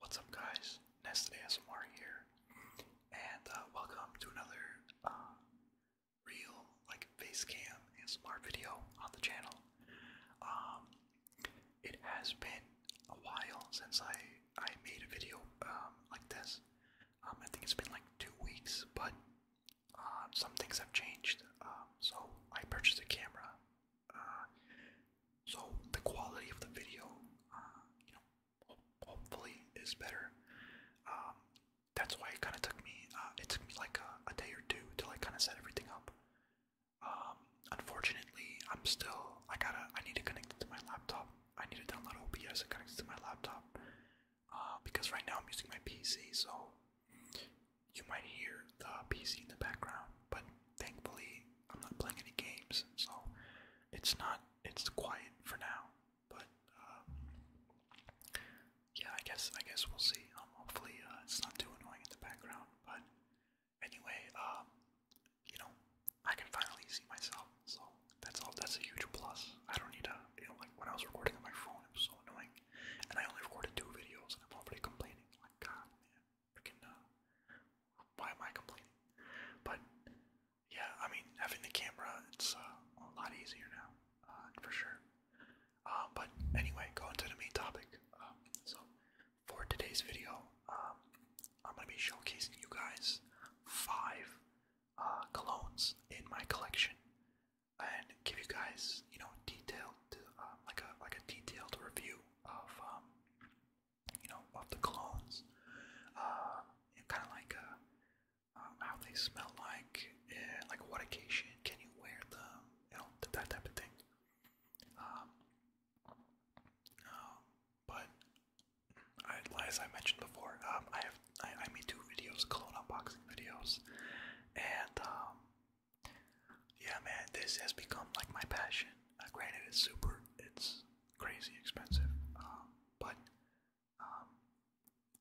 What's up guys, Nest ASMR here, and uh, welcome to another uh, real like face cam ASMR video on the channel. Um, it has been a while since I, I made a video um, like this. Um, I think it's been like two weeks, but uh, some things have changed. so I purchased a camera uh, so the quality of the video, uh, you know, hopefully is better. Um, that's why it kind of took me. Uh, it took me like a, day or two to like kind of set everything up. Um, unfortunately, I'm still. I gotta. I need to connect it to my laptop. I need to download OBS and connect it to my laptop uh, because right now I'm using my PC. So you might hear the PC in the background, but thankfully I'm not playing any games, so it's not it's quiet for now. But um, yeah, I guess I guess we'll see. Um, hopefully uh, it's not too annoying in the background. But anyway, um, you know, I can finally see myself, so that's all. That's a huge plus. I don't need to, you know, like when I was recording on my phone, it was so annoying, and I only recorded two videos, and I'm already complaining. Like God, man freaking uh, why am I complaining? But yeah, I mean, having the camera, it's uh, a lot easier now, uh, for sure. but anyway, going to the main topic. Um, so for today's video, um, I'm gonna be showcasing you guys five uh, colognes in my collection, and give you guys, you know, detailed, like a like a detailed review of um, you know, of the clones. Uh, kind of like uh, um, how they smell like, eh, like what occasion can you wear them, you know, that type of thing. Um, um, but as I mentioned before, um, I have I, I made two videos, clone unboxing videos, and um, yeah, man, this has become like my passion granted, it's super, it's crazy expensive, um, um, uh,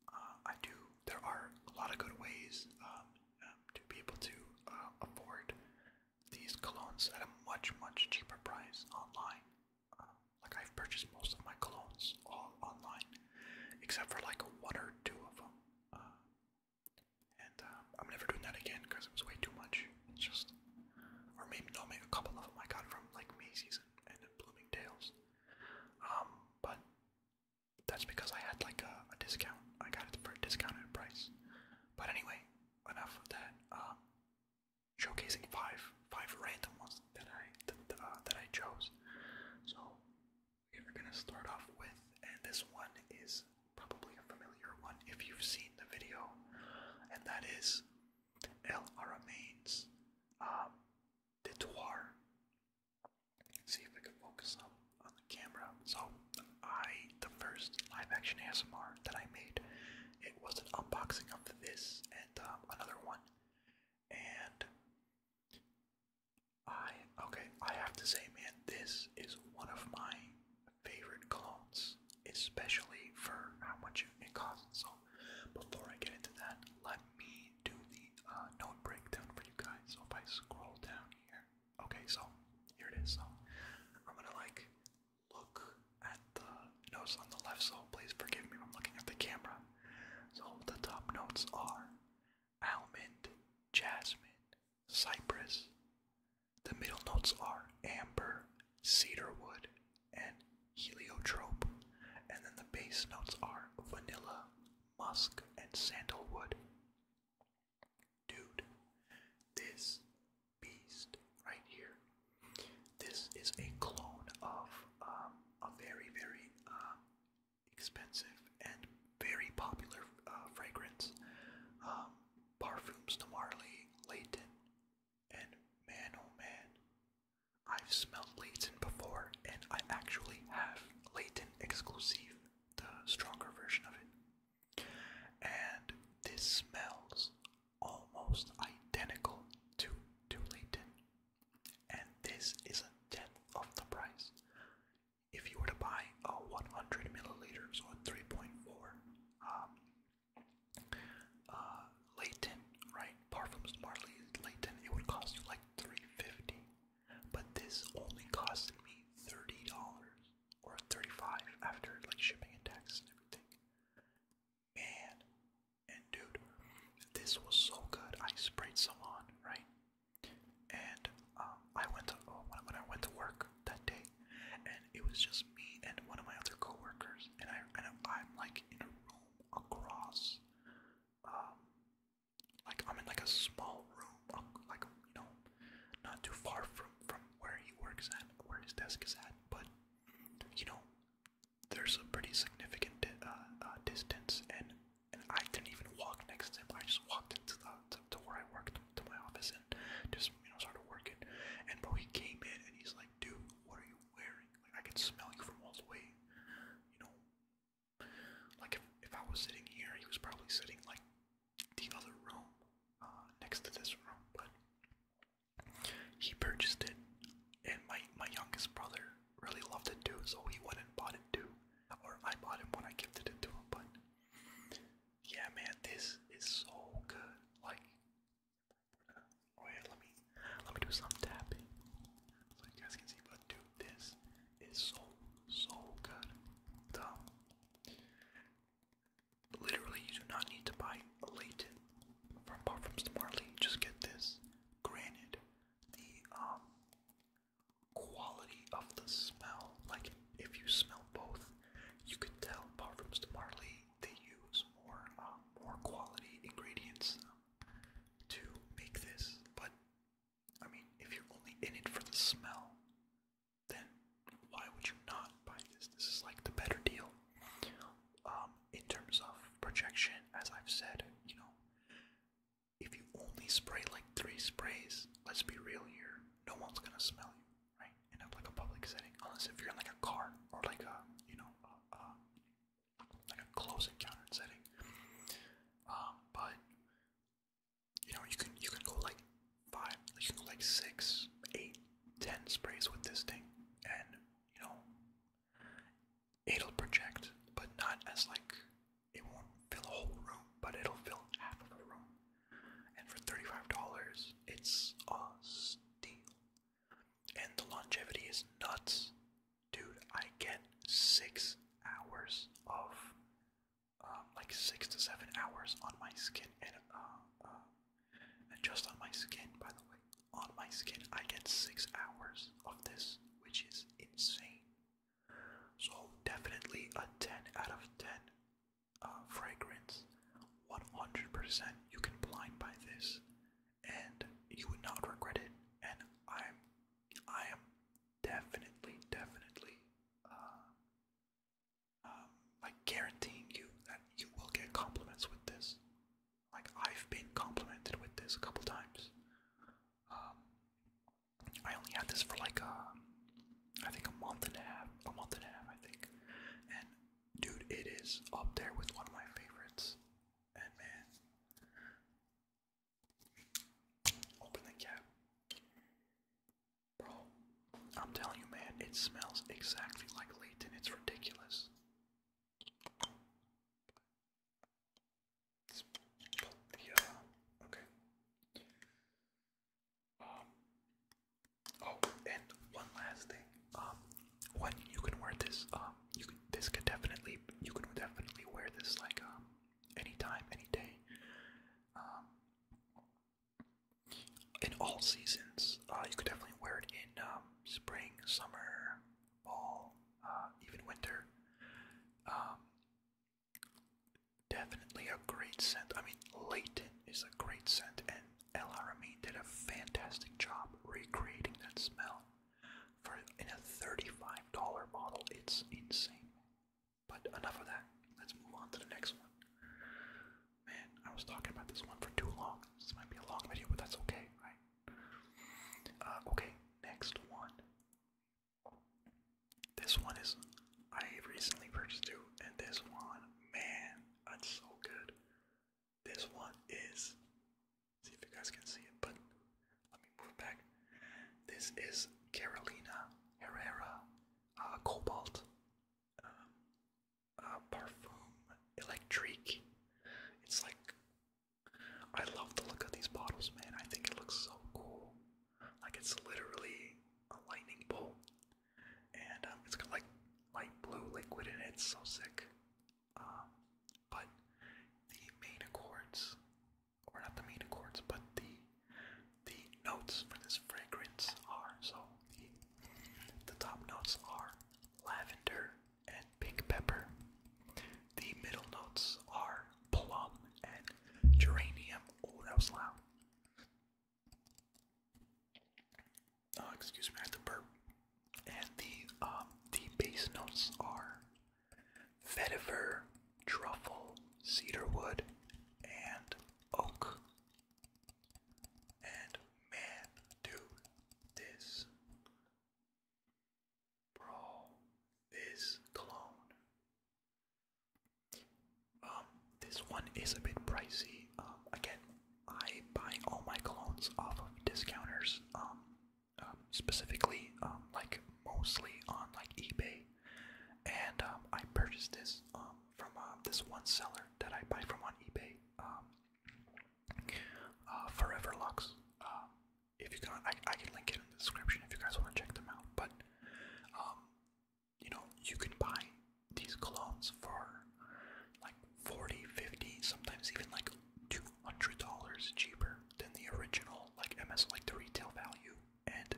but I do. There are a lot of good ways um, um, to be able to uh, afford these colognes at a much, much cheaper price online. like I've purchased most of my colognes all online, except for like one or two of them. Uh, and um, I'm never doing that again because it was way too much. It's just, or maybe no, a couple of them I got from like Macy's and, and Bloomingdale's. Um, but that's because I had like a, a discount. I got it for a discounted price. But anyway, enough of that. Um, showcasing five five random ones that I th uh, that I chose. So we're gonna start off with, and this one is probably a familiar one if you've seen the video, and that is El Aramain's um, Detour. See if I can focus on, on the camera. So, I, the first live action ASMR that I made, it was an unboxing of this and um, another one. And I, okay, I have to say, man, this is one of my favorite clones, especially for how much it costs. So, before I get into that, let me do the uh, note breakdown for you guys. So, if I scroll down here, okay, so here it is. So, I'm gonna like look at the notes on the left. So, please forgive me if looking at the camera. So, the top notes are almond, jasmine, cypress, the middle notes are amber, cedarwood, and heliotrope, and then the base notes are vanilla, musk, and sandalwood. Dude, this beast right here, this is a clone of um, a very, very um, expensive and very popular uh, fragrance. Um, Parfums de Marley, Leighton, and man oh man. I've smelled Leighton before and I actually have Leighton Exclusive, the stronger version of it. And this smells almost identical to, to Leighton. And this is a tenth of the price. If you were to buy a 100 milliliters or 3.4 um, uh, Leighton, right? Parfums Marley Leighton, it would cost you like three fifty, dollars but this only costed me $30 or 35 after like shipping and taxes and everything. Man, and dude, this was so good. I sprayed some on, right? And um, I went to oh, when I went to work, that day, and it was just me and one of my other coworkers, and I I'm like in a room across, um, like I'm in like a small room, like you know, not too far from from where he works at, where his desk is at, but you know, there's a pretty significant uh, uh, distance, and I didn't even walk next to him. I just walked into the to where I worked to my office, just you know started working. And bro, he came in and he's like, dude, what are you wearing? Like I can smell you from all the way. You know, like if if I was sitting here, he was probably sitting like the other room, uh, next to this room. But he purchased it, and my my youngest brother really loved it too, so he went and bought it too. Or I bought it when I gifted it to him, but yeah, man, this is so good. Like, oh let me let me do some tapping so you guys can see. But dude, this is so so good. Dumb. Literally, you do not need to buy Layton from apart from Smartly. Just get this. Granted, the um quality of the smell, like if you smell both you can tell, apart from Marley, they use more, um, more quality ingredients um, to make this. But I mean, if you're only in it for the smell, then why would you not buy this? This is like the better deal. Um, in terms of projection, as I've said, you know, if you only spray like three sprays, let's be real here, no one's gonna smell you right? In a, like a public setting, unless if you're in like a car or like a you know a, like a close encounter setting. Um, but you know you can you can go like five, you can go like six, eight, ten sprays with this thing, and you know it'll project, but not as like it won't fill a whole room, but it'll fill half of the room. And for $35, it's a steal. And the longevity is nuts. Dude, I get six hours of, um, like six to seven hours on my skin, uh, uh, and just on my skin, by the way, on my skin, I get six hours of this, which is insane. So definitely a ten out of ten uh, fragrance 100% you can blind by this and you would not regret it and i'm i am definitely definitely I uh, um, guaranteeing you that you will get compliments with this like i've been complimented with this a couple times um, i only had this for like a. Uh, I think a month and a half, a month and a half, I think. And dude, it is up there with one of my favorites. And man, open the cap, bro. I'm telling you, man, it smells exactly like Layton. It's ridiculous. okay. Um, oh, and one last thing. Um, when you can wear this, um, you can this could definitely you can definitely wear this like um anytime, any day. Um, in all seasons, uh, you could definitely wear it in um, spring, summer, fall, uh, even winter. Um, Definitely a great scent. I mean, Leighton is a great scent, and El Arameen did a fantastic job recreating that smell. For in a thirty-five dollar bottle, it's insane. But enough of that. Let's move on to the next one. Man, I was talking about this one for too long. This might be a long video, but that's okay, right? Uh, okay, next one. This one is I recently purchased two, and this one, man, that's so good. This one is see if you guys can see it, but let me move back. This is Carolina Herrera uh, Cobalt um, uh, Parfum Electrique. It's like I love the look of these bottles, man. I think it looks so cool. Like it's literally a lightning bolt, and um, it's got like light blue liquid in it. so sick. Um, but the main accords, or not the main accords, but the the notes for this fragrance are so the top notes are lavender and pink pepper. The middle notes are plum and geranium. Oh, that was loud. Oh, excuse me, I had to burp. And the um the base notes are vetiver, truffle, cedarwood, and oak. And man, dude, this bro, this clone um, this one is a bit pricey. Um, again, I buy all my colognes off of discounters. Um, specifically, like mostly on like eBay, and I purchased this from uh, this one seller that I buy from on eBay. Uh, Forever Lux. if you can, I, I can link it in the description if you guys want to check them out. But you know, you can buy these colognes for like 40, 50, sometimes even like $200 cheaper than the original, like MS, like the retail value. And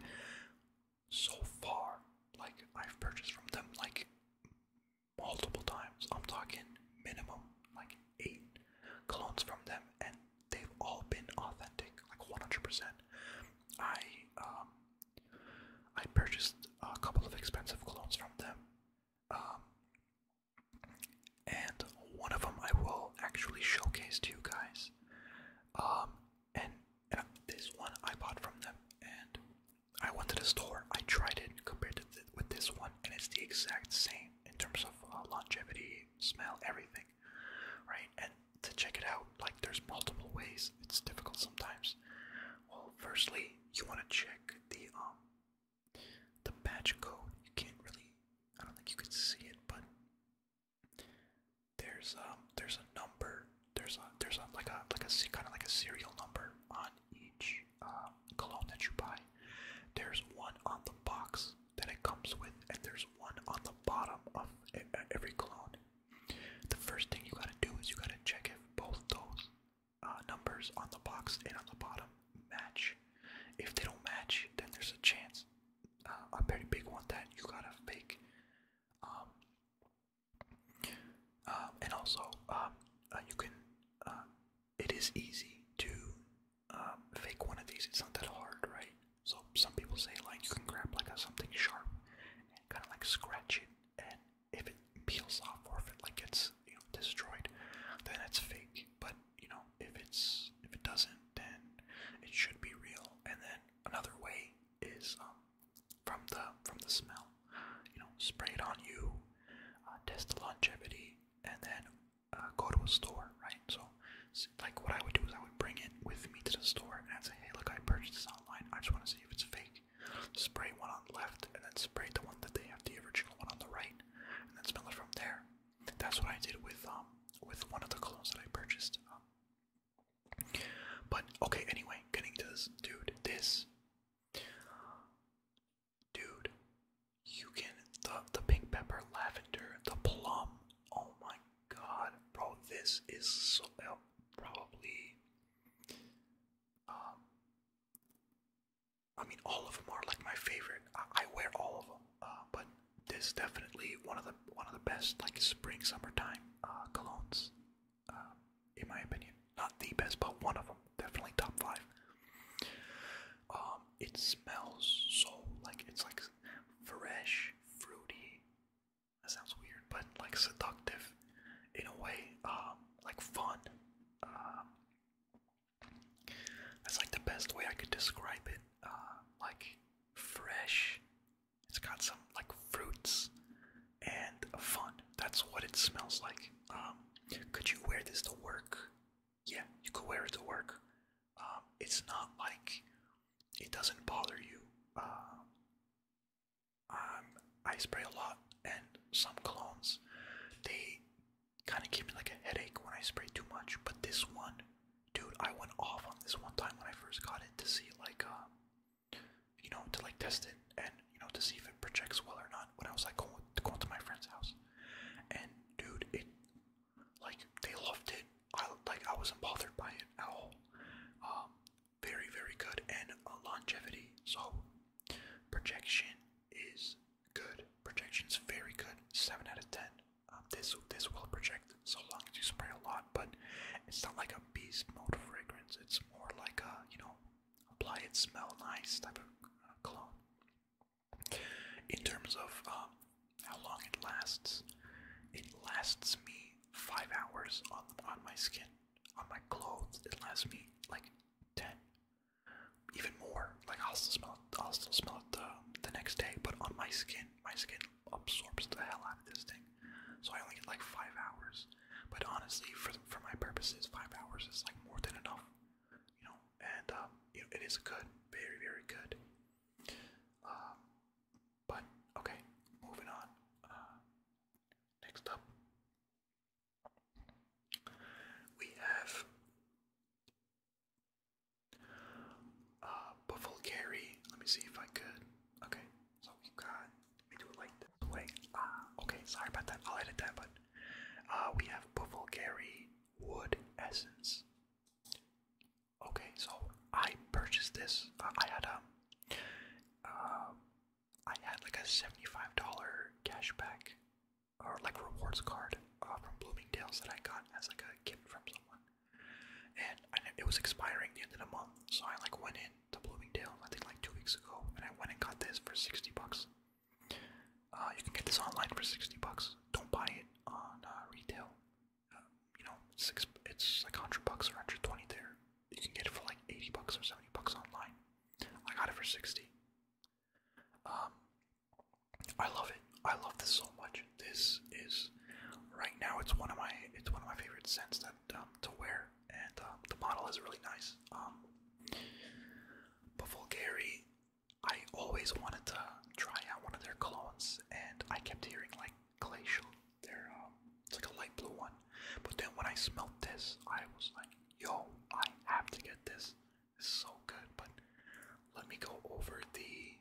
so far, like I've purchased from them like multiple times. I'm talking minimum like eight colognes from them, and they've all been authentic, like 100%. I um, I purchased a couple of expensive colognes from them, um, and one of them I will actually showcase to you guys. Um, and, this one I bought from them, and I went to the store. I tried it compared to with this one, and it's the exact same in terms of uh, longevity, smell, everything right? And to check it out, like there's multiple ways. It's difficult sometimes. Well, firstly, you want to check the um, the batch code. You can't really. I don't think you can see it, but there's um there's a number. There's a there's a like a like a kind of like a serial number on each um, cologne that you buy. There's one on the box that it comes with, and there's one on the bottom of every cologne. The first thing you gotta do is you gotta check if both those uh, numbers on the box and on the bottom match. If they don't match, then there's a chance, uh, a pretty big one, that you gotta fake. Um, uh, and also, um, you can. it is easy to um, fake one of these. It's not that hard, right? So some people say like you can grab like a something sharp and kind of like scratch it, and if it peels off or if it like gets you know destroyed, then it's fake. But you know if it's if it doesn't, then it should be real. And then another way is um, from the from the smell, you know, spray it on you, uh, test the longevity, and then uh, go to a store, right? So so, like what I would do is I would bring it with me to the store and I'd say, hey, look, I purchased this online. I just want to see if it's fake. Spray one on the left and then spray the one that they have, the original one on the right, and then smell it from there. That's what I did with um with one of the colognes that I purchased. Um. but okay, anyway, getting to this, dude, this, dude, you can the the pink pepper, lavender, the plum. Oh my god, bro, this is so uh, probably. Um, I mean, all of them are like my favorite. I, wear all of them, uh, but this definitely one of the one of the best like spring summertime uh, colognes, um, in my opinion. Not the best, but one of them, definitely top five. Um, it smells so like it's like fresh, fruity, that sounds weird, but like seductive in a way, um, like fun. Um, that's like the best way I could describe it. Uh, like fresh. It's got some like fruits and fun. That's what it smells like. Um, could you wear this to work? Yeah, you could wear it to work. Um, it's not like it doesn't bother you. Uh, um, I spray a lot, and some clones, they kind of give me like a headache when I spray too much. But this one, dude, I went off on this one time when I first got it to see like, uh, you know, to like test it and you know to see if it projects well or not. When I was like going to my friend's house, and dude, it like they loved it. I like I wasn't bothered by it at all. Um, very very good and uh, longevity. So projection is good. Projection's very good. Seven out of ten. Um, this this will project so long as you spray a lot, but it's not like a beast mode fragrance. It's more like a you know apply it, smell nice type of uh, cologne. In terms of um, how long it lasts. It lasts me five hours on on my skin, on my clothes. It lasts me like ten, even more. Like I'll still smell, it, I'll still smell it the, the next day, but on my skin, my skin absorbs the hell out of this thing. So I only get like five hours. But honestly, for for my purposes, five hours is like more than enough. You know, and um, you know, it is good, very very good. Um, but okay, moving on. Uh, next up, we have uh, Buffalo Let me see if I could. Okay, so we got. Let me do it like this way. Ah, okay. Sorry about that. I'll edit that, but uh, we have Buffalo Wood Essence. Okay, so I purchased this. I had a, um, uh, um, I had like a seventy-five dollar cash back, or like rewards card uh, from Bloomingdale's that I got as like a gift from someone, and it was expiring the end of the month. So I like went in to Bloomingdale's I think like two weeks ago, and I went and got this for sixty bucks. Uh, you can get this online for sixty bucks. Don't buy it on uh, retail. Um, you know, six. It's like hundred bucks or hundred twenty there. You can get it for like eighty bucks or seventy bucks online. I got it for sixty. Um, I love it. I love this so much. This is right now. It's one of my. It's one of my favorite scents that um, to wear, and uh, the model is really nice. Um, but Vulgari, I always wanted to try out one of their clones, and I kept hearing like glacial. they um, it's like a light blue one. But then when I smelled this, I was like, yo, I have to get this. It's so good. But let me go over the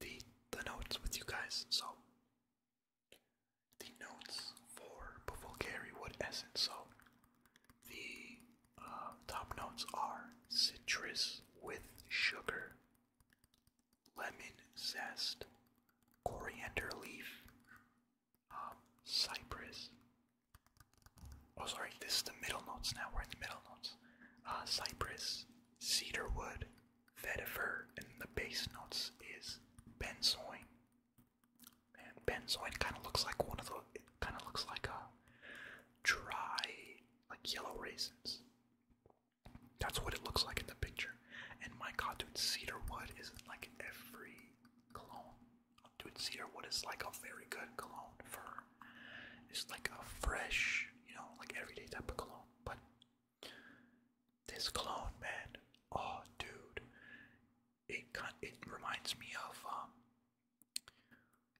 the the notes with you guys. So the notes for Bulgari wood essence. So the uh, top notes are citrus with sugar, lemon zest, coriander leaf, um, cypress. Oh, sorry, this is the middle notes now. We're in the middle notes. Uh, cypress, cedarwood, vetiver, and the base notes is benzoin. And benzoin kind of looks like one of the. kind of looks like a dry, like yellow raisins. That's what it looks like in the picture. And my god, dude, cedarwood isn't like every cologne. Dude, cedarwood is like a very good cologne for it's like a fresh, you know, like everyday type of cologne. But this cologne, man, oh, dude, it it reminds me of um,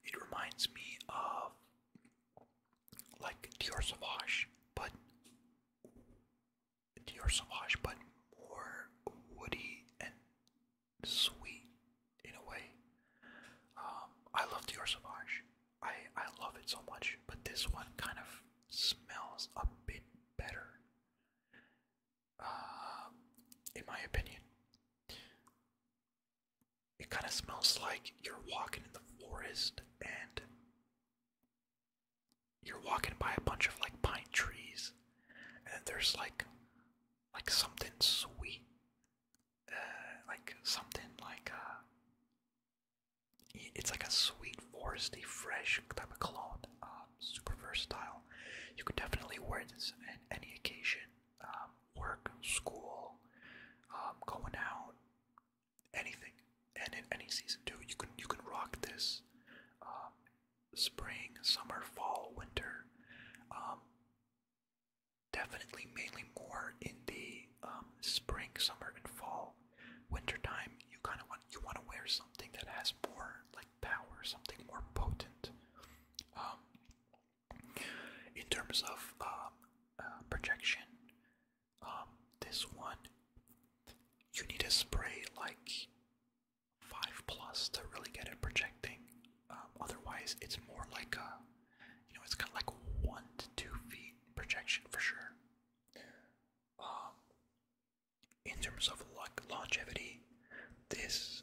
it reminds me of like Dior Sauvage, but Dior Sauvage, but more woody and sweet in a way. Um, I love Dior Sauvage. I I love it so much, but this one kind of smells a bit better, uh, in my opinion. It kind of smells like you're walking in the forest and you're walking by a bunch of like pine trees and there's like like something sweet uh, like something like uh, it's like a sweet foresty fresh type of cologne um, super versatile you could definitely wear this at any occasion um, work, school, um, going out, anything, and in any season too. You can you can rock this um, spring, summer, fall, winter. definitely, mainly more in the spring, summer, and fall. Winter time, you kind of want you want to wear something that has more like power, something more potent in terms of um, uh, projection, um, this one you need a spray like five plus to really get it projecting. Um, otherwise, it's more like a you know it's kind got like one to two feet projection for sure. Um, in terms of like longevity, this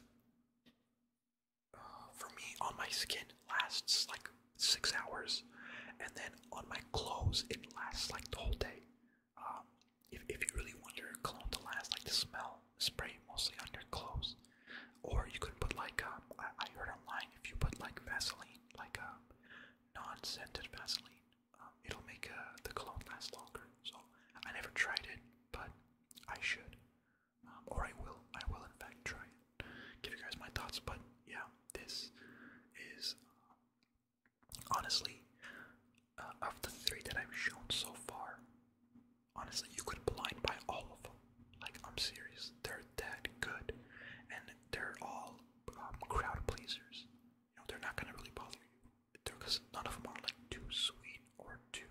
for me on my skin lasts like six hours, and then on my clothes it lasts like the whole day. Um, if if you really want your cologne to last, like the smell, spray mostly on your clothes, or you could put like um, I, heard online if you put like Vaseline, like a um, non-scented Vaseline, um, it'll make uh, the cologne last longer. So I never tried it, but I should. Um, or I will, I will in fact try give you guys my thoughts. But yeah, this is uh, honestly uh, of the three that I've shown so far. Honestly, you could blind buy all of them. Like I'm serious, they're that good, and they're all um, crowd pleasers. You know, they're not gonna really bother you because none of them are like too sweet or too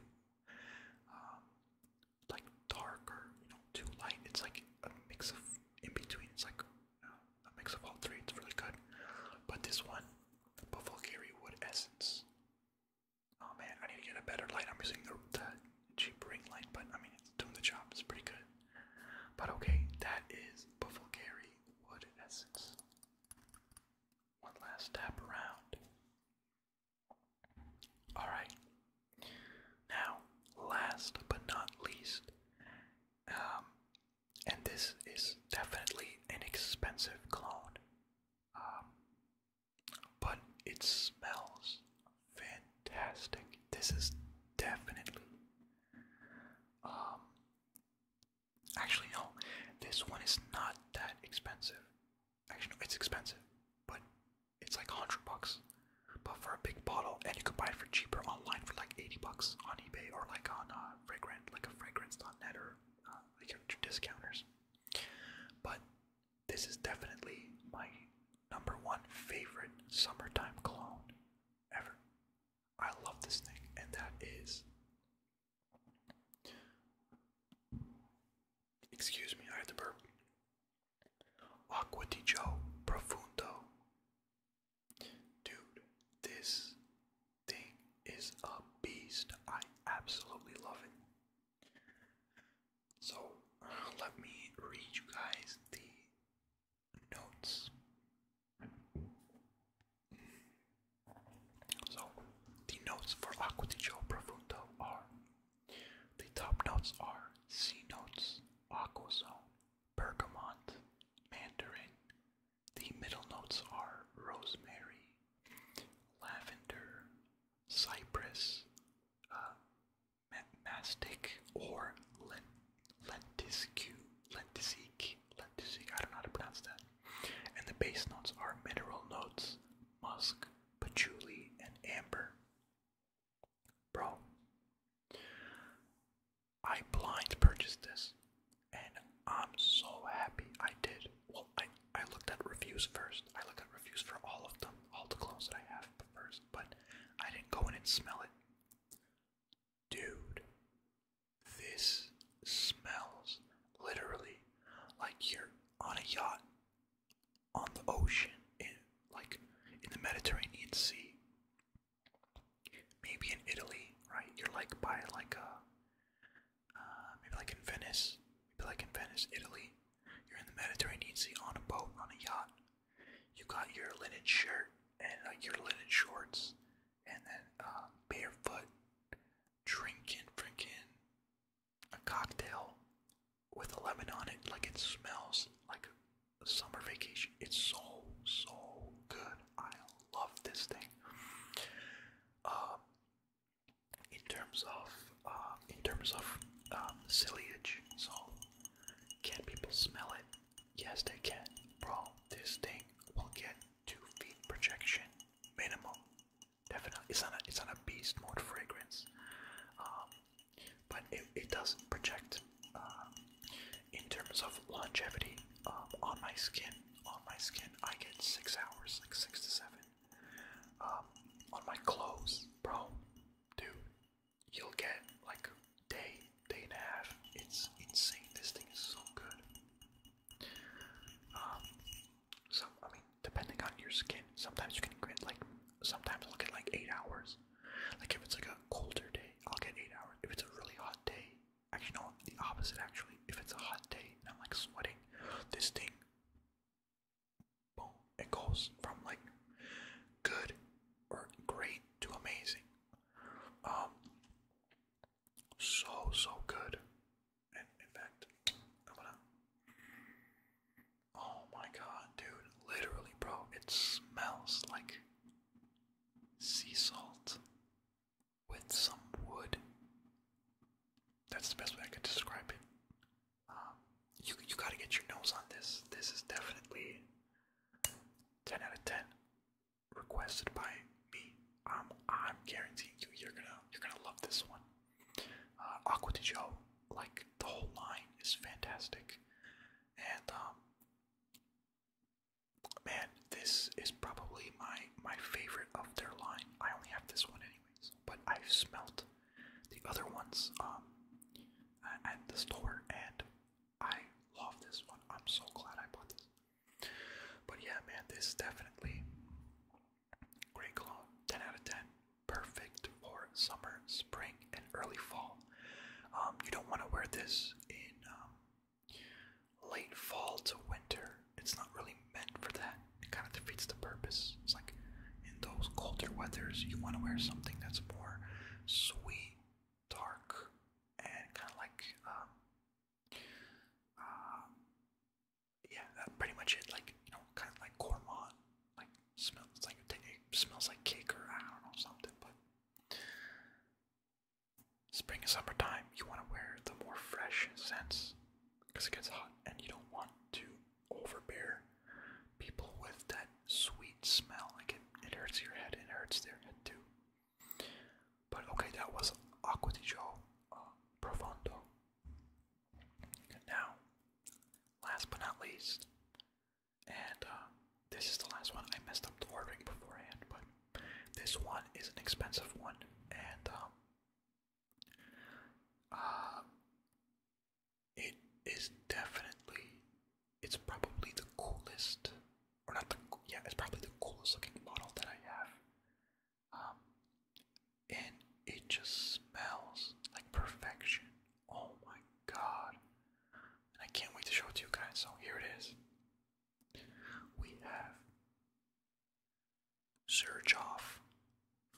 um, like dark or too light. It's like a mix of in between. It's like a mix of all three. It's really good. But this one, the Wood Essence. Oh man, I need to get a better light. I'm using the, cheap ring light, but I mean it's doing the job. It's pretty good. But okay, that is Bulgari Wood Essence. One last tap around. Alright. Now, last but not least, um, and this is definitely an expensive clone, um, but it smells fantastic. This is definitely. Um, actually, no, this one is not that expensive. Actually, no, it's expensive, but it's like 100 bucks. But for a big bottle, and you can buy it for cheaper online for like 80 bucks on eBay or like on uh, fragrant, like a fragrance.net or uh, like your discounters. But this is definitely my number one favorite summertime cologne ever. I love this thing, and that is. Excuse me, I had to burp. Aqua di Joe Profundo. Dude, this thing is a beast. I absolutely love it. So, let me read you guys the notes. So, the notes for Aqua di are the top notes are C notes, aquazone, bergamot, mandarin. The middle notes are rosemary, lavender, cypress, uh, mastic, or lent lentiscu, lentisique, I don't know how to pronounce that. And the base notes are mineral notes, musk, patchouli, and amber. Bro, I blind purchased this and I'm so happy I did. Well, I, I looked at reviews first. I looked at reviews for all of them, all the clothes that I have first, but I didn't go in and smell it. Dude, this smells literally like you're on a yacht on the ocean in like in the Mediterranean Sea. Maybe in Italy, right? You're like by like a uh, uh, maybe like in Venice, maybe like in Venice, Italy. You're in the Mediterranean Sea on a boat, on a yacht. You got your linen shirt and like uh, your linen shorts, and then uh, barefoot, drinking, drinking a cocktail with a lemon on it, like it smells like a summer vacation. It's so so good. I love this thing. Um, in terms of uh, in terms of um, sillage, so can people smell it? Yes, they can, bro. This thing will get two feet projection minimum. Definitely, it's on a, it's not a beast mode fragrance, um, but it, it does project uh, in terms of longevity um, on my skin. On my skin, I get six hours, like six to seven. Um, on my clothes, bro, dude, you'll get like day, day and a half. It's insane. This thing is so good. Um, so I mean, depending on your skin, sometimes you can get like sometimes I'll get like eight hours. Like if it's like a colder day, I'll get eight hours. If it's a really hot day, actually no, the opposite actually. If it's a hot day and I'm like sweating, this thing boom, it goes from like good or great to amazing. Um so so good. And in fact, I'm gonna Oh my god, dude. Literally, bro, it smells like sea salt with some wood. That's the best way I could describe it. Um, you you gotta get your nose on this. This is definitely 10 out of 10 requested by me. I'm um, I'm guaranteeing you you're gonna you're gonna love this one. Uh, Aqua Di like the whole line is fantastic, and um, man, this is probably my my favorite of their line. I only have this one anyways, but I've smelt the other ones um at the store, and I love this one. I'm so glad I bought this. But yeah, man, this definitely Great clone, 10 out of 10. Perfect for summer, spring, and early fall. Um, you don't want to wear this in um, late fall to winter. It's not really meant for that. It kind of defeats the purpose. It's like in those colder weathers, you want to wear something that's more sweet, dark, and kind of like um, um yeah, that's pretty much it. Like you know, kind of like gourmand, like smells like it smells like cake or I don't know something. But spring and summertime, you want to wear the more fresh scents because it gets hot, and you don't want to overbear people with that sweet smell. Like it, it hurts your head, and it hurts their head too. But okay, that was Acqua di Gio uh, Profondo. now Last but not least, and uh, this is the last one. I messed up the ordering beforehand, but this one is an expensive one, and um, uh, it is definitely, it's probably the coolest, or not the, yeah, it's probably the coolest looking model that I have. Um, and it just smells like perfection. Oh my god. And I can't wait to show it to you guys. So here it is. We have Surge Off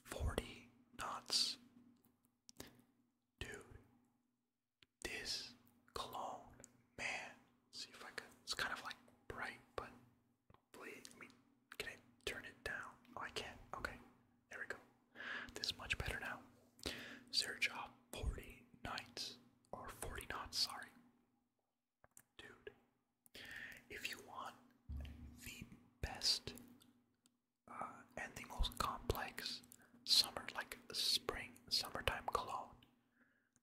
40 Knots. Dude, this clone, man. See if I can. It's kind of like bright, but Please, I mean, turn it down? Oh, I can't. Okay, there we go. This is much better now. Search up 40 or 40 knots, sorry. Dude, if you want the best uh, and the most complex summer, like spring, summertime cologne,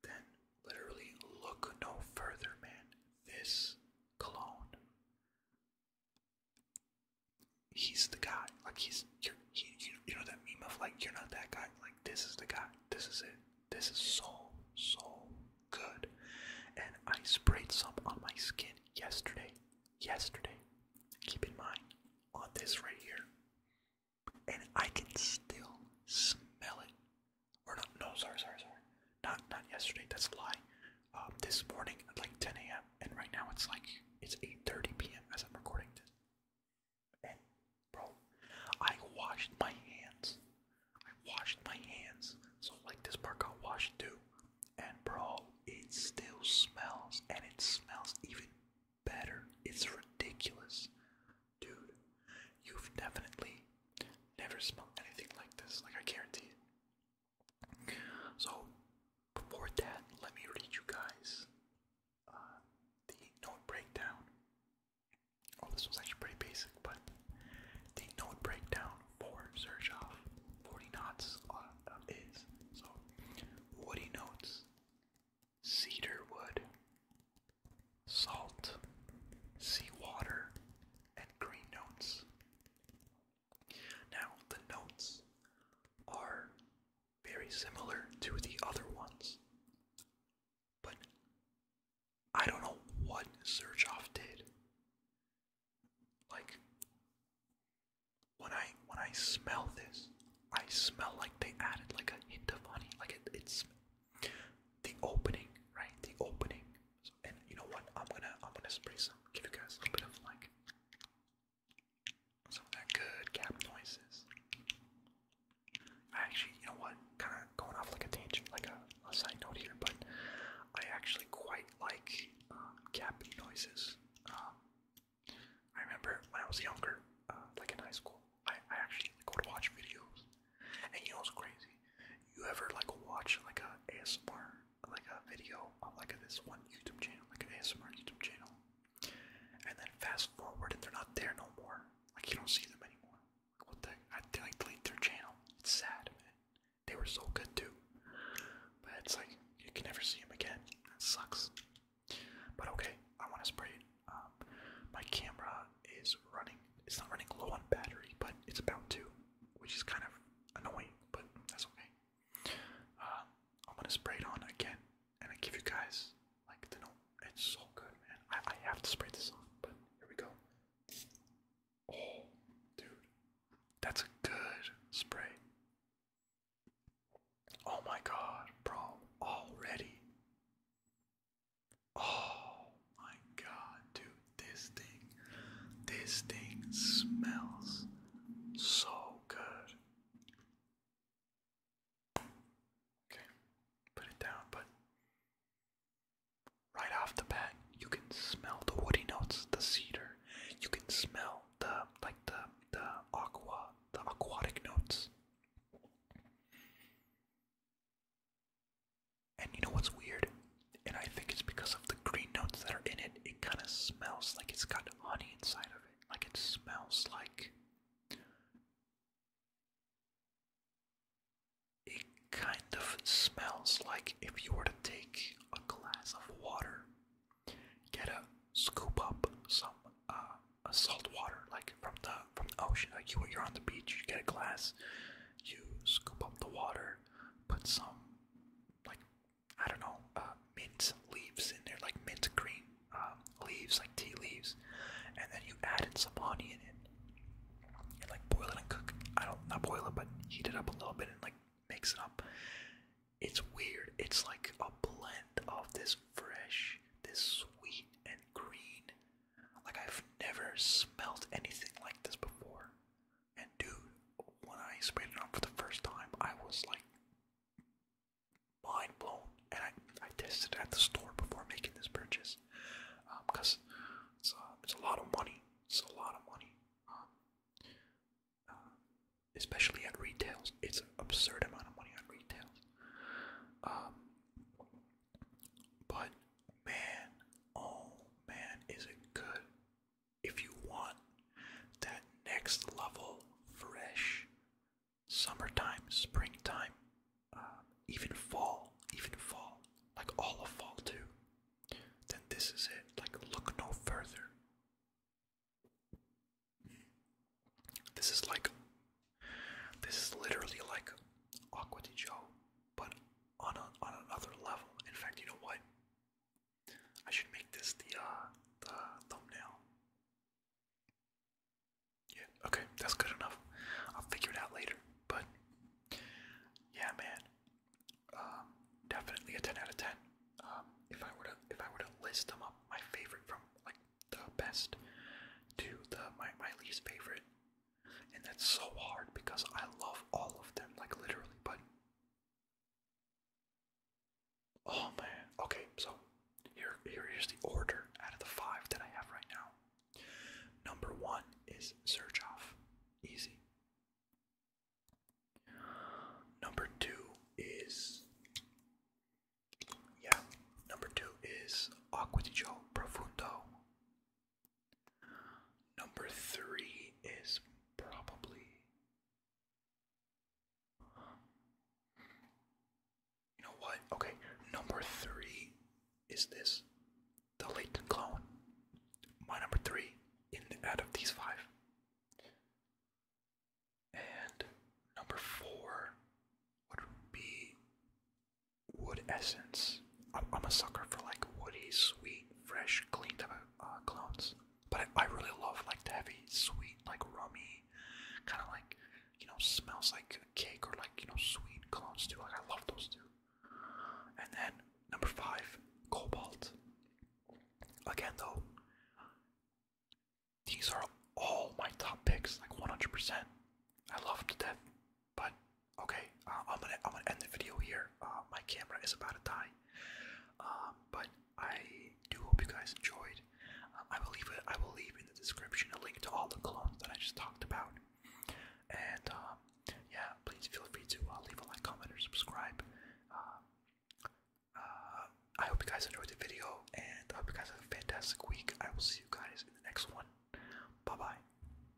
then literally look no further, man. This cologne he's the guy. Like he's you're, he, know that meme of like you're not that guy. Like this is the guy. This is it. This is so so good. And I sprayed some on my skin yesterday. Yesterday. Keep in mind on this right here. And I can still smell it. Or not? No, sorry, sorry, sorry. Not not yesterday. That's a lie. Um, this morning at like 10 a.m. and right now it's like it's 8:30 p.m. as I'm recording this. And bro, I washed my hands. I washed my hands. So like this part got washed too. And bro, it still smells and it smells even better. It's ridiculous. Dude, you've definitely never smelled anything like this. Like I guarantee you. So, before that, let me read you guys uh, the note breakdown. Oh, this was actually pretty basic, but the note breakdown for Sergeov 40 knots uh, is so woody notes, cedar wood, salt, seawater, and green notes. Now, the notes are very similar to the other ones, but I don't know what Surgeoff did. Like when I when I smell this, I smell like they added like a hint of honey. Like it's the opening, right? The opening and you know what? I'm gonna I'm gonna spray some. Give you guys a little bit of like some of that good cap noises. I actually, you know what? Kind of going off like a tangent, like a, side note here, but I actually quite like um, cap noises. Um, I remember when I was younger, uh, like in high school, I, I actually go to watch videos, and you know what's crazy? You ever like watch like a ASMR like a video of like this one YouTube channel, like an ASMR YouTube channel, and then fast forward and they're not there no more. Like you don't see them anymore. Like what the? I like delete their channel. It's sad, man. They were so good too, but it's like you can never see them again. That sucks. But okay, I want to spray it. Um, my camera is running. It's not running low on battery, but it's about to which is kind of annoying, but that's okay. Uh, I'm gonna spray it on again, and I give you guys like to know it's so good, man. I, I have to spray this on, but here we go. Oh, dude, that's a good spray. Oh my god, bro, already. Oh, my god, dude, this thing, this thing smells so good. Okay, put it down, but right off the bat, you can smell the woody notes, the cedar. You can smell the like the the aqua, the aquatic notes. And you know what's weird? And I think it's because of the green notes that are in it, it kind of smells like it's got honey inside of it. Like it smells like. It kind of smells like if you were to take a glass of water, get a scoop up some uh, salt water, like from the from the ocean. Like you, you're on the beach, you get a glass, you scoop up the water, put some like I don't know uh, mint leaves in there, like mint green um, leaves, like tea leaves, and then you add in some honey in it and like boil it and cook. I don't not boil it, but heat it up a little bit and like mix it up. It's weird. It's like a blend of this fresh, this sweet and green. Like I've never smelled anything like this before. And dude, when I sprayed it on for the first time, I was like mind blown. And I, I tested it at the store before making this purchase because um, it's, uh, it's a lot of money. It's a lot of money. Um, uh, especially at retails. It's an absurd amount of money on retails. Um, but man, oh man, is it good. If you want that next level fresh summertime, springtime, um, even fall, even fall, like all of fall too, then this is it. Like, look no further. This is like, this is literally like Aqua Joe but on a, on another level. In fact, you know what? I should make this the uh, the thumbnail. Yeah, okay, that's good enough. I'll figure it out later. But yeah, man, um, definitely a ten out of ten. Um, if I were to if I were to list them up, my favorite from like the best to the my my least favorite, and that's so hard because I love all of them, like literally, but. Oh man. Okay, so here, here is the order out of the five that I have right now. Number one is Surgeoff. Easy. Number two is. Yeah, number two is Acqua Profundo. Number three is probably. You know what? Okay, number three is this the latent clone. My number three in out of these five. And number four would be wood essence. I'm, a sucker for like woody, sweet, fresh, clean type uh, clones. But I, really love like the heavy, sweet, like rummy, kind of like you know smells like cake or like you know sweet clones too. Like I love those too. And then number five, cobalt. Again though, these are all my top picks, like 100%. I love to death. But okay, uh, I'm gonna I'm gonna end the video here. Uh, my camera is about to die. Um, but I do hope you guys enjoyed. Uh, I will leave it. I will leave in the description a link to all the clones that I just talked about. And um, yeah, please feel free to leave a like, comment, or subscribe. Um, I hope you guys enjoyed the video, and I hope you guys have a fantastic week. I will see you guys in the next one. Bye bye.